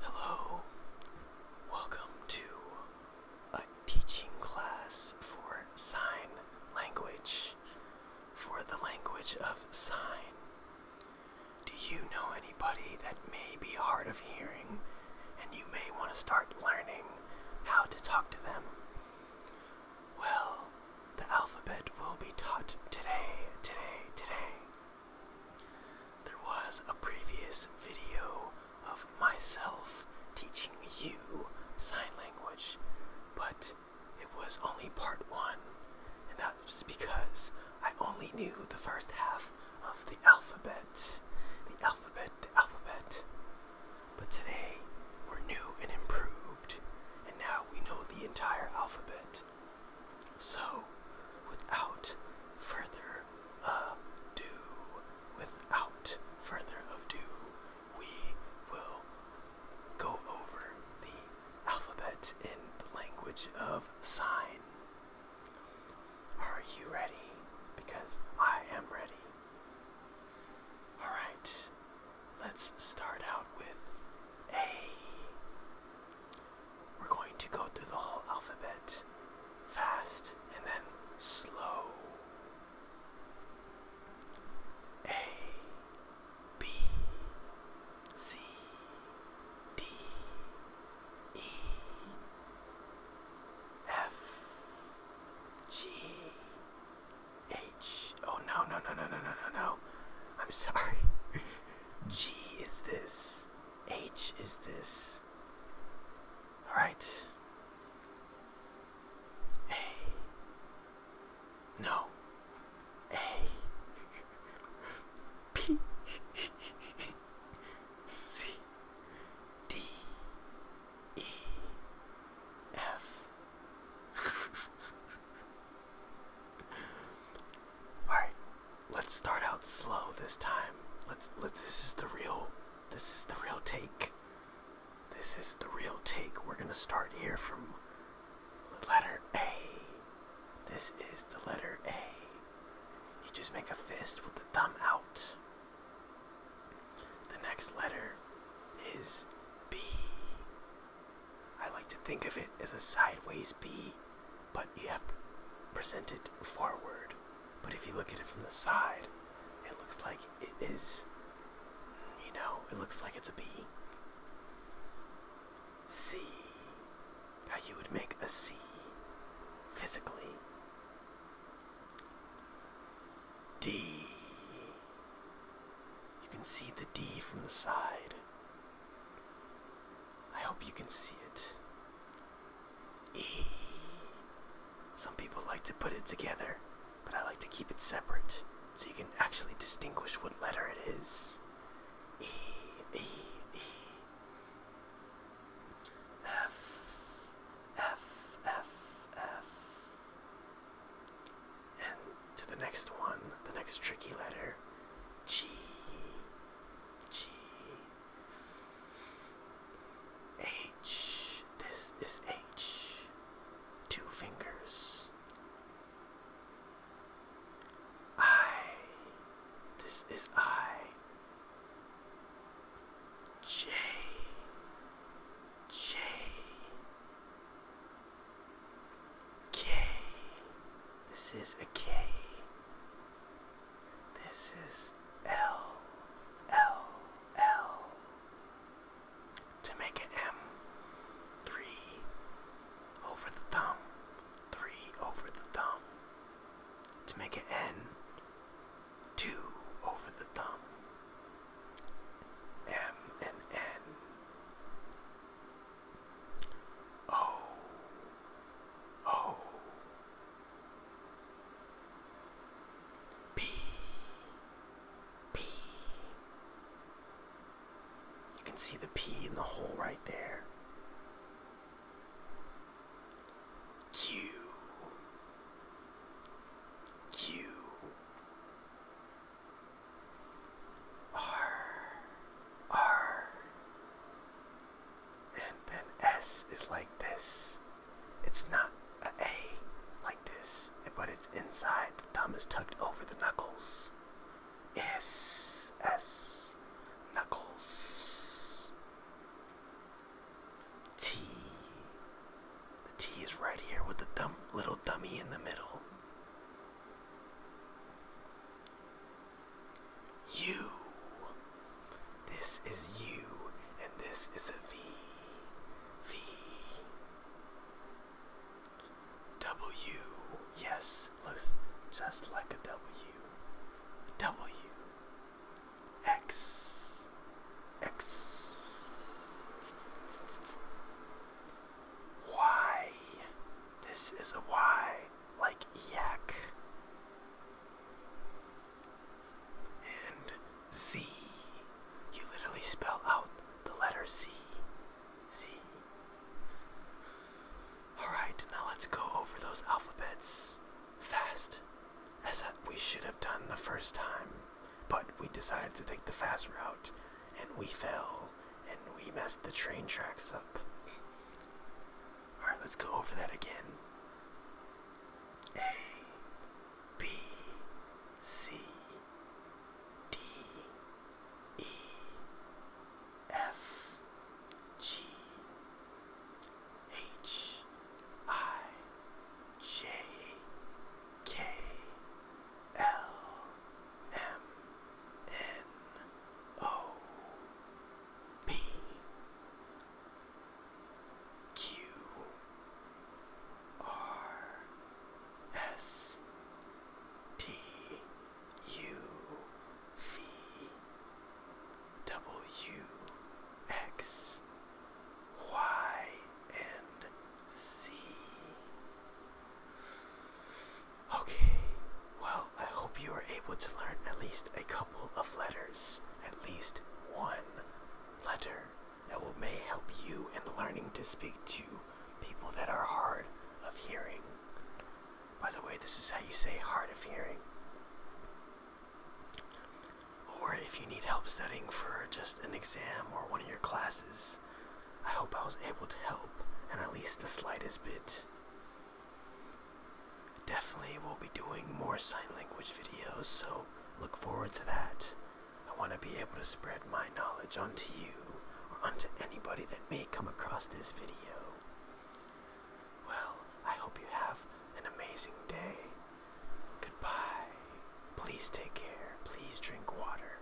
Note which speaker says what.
Speaker 1: Hello, welcome to a teaching class for sign language, for the language of sign. Do you know anybody that may be hard of hearing and you may want to start learning how to talk to them? Well, the alphabet will be taught today, today, today. There was a previous video of myself teaching you sign language, but it was only part one, and that was because I only knew the first half of the alphabet. The alphabet, the alphabet. But today, we're new and improved, and now we know the entire alphabet. So, without further ado, without further ado, we will go over the alphabet in the language of sign. Are you ready? Because I am ready. Alright, let's start out with A. We're going to go through the whole alphabet fast and then slow. A, B, C, D, E, F, G, H. Oh no, no, no, no, no, no, no, no. I'm sorry. G is this. H is this? All right. A. No. A. P. C. D. E. F. Alright, let's start out slow this time. Let's let this is the real this is the real take. This is the real take. We're gonna start here from letter A. This is the letter A. You just make a fist with the thumb out. The next letter is B. I like to think of it as a sideways B but you have to present it forward. But if you look at it from the side, it looks like it is, you know, it looks like it's a B. C. How you would make a C physically. D. You can see the D from the side. I hope you can see it. Eee. Some people like to put it together, but I like to keep it separate so you can actually distinguish what letter it is. E, E, E. F, F, F, F. And to the next one, the next tricky letter G, G H. This is H. Two fingers. I. This is I. J. J. K. This is a K. This is L, L, L. To make an M, three over the thumb, three over the thumb. To make an N, two over the thumb. M and N. Oh. You can see the P in the hole right there. Q. Q. R. R. And then S is like this. It's not a A like this, but it's inside. The thumb is tucked over the knuckles. S, S, knuckles. T. The T is right here with the little dummy in the middle. You. This is you, and this is a V. V. W. Yes, looks just like a W. W. X. X. Y. This is a Y like yak and Z. You literally spell out the letter Z. Z. Alright, now let's go over those alphabets fast, as we should have done the first time. But we decided to take the fast route, and we fell, and we messed the train tracks up. Alright, let's go over that again. A, B, C, D, E, F, G, H, I, J, K, L, M, N, O P Q R S T U V W X Y and Z. Okay, well, I hope you were able to learn at least a couple of letters, at least one letter that will may help you in learning to speak to people that are hard of hearing. By the way, this is how you say hard of hearing. Or if you need help studying for just an exam or one of your classes, I hope I was able to help and at least the slightest bit. Definitely we will be doing more sign language videos, so look forward to that. I want to be able to spread my knowledge onto you or onto anybody that may come across this video. Well, I hope you have an amazing day. Goodbye. Please take care. Please drink water.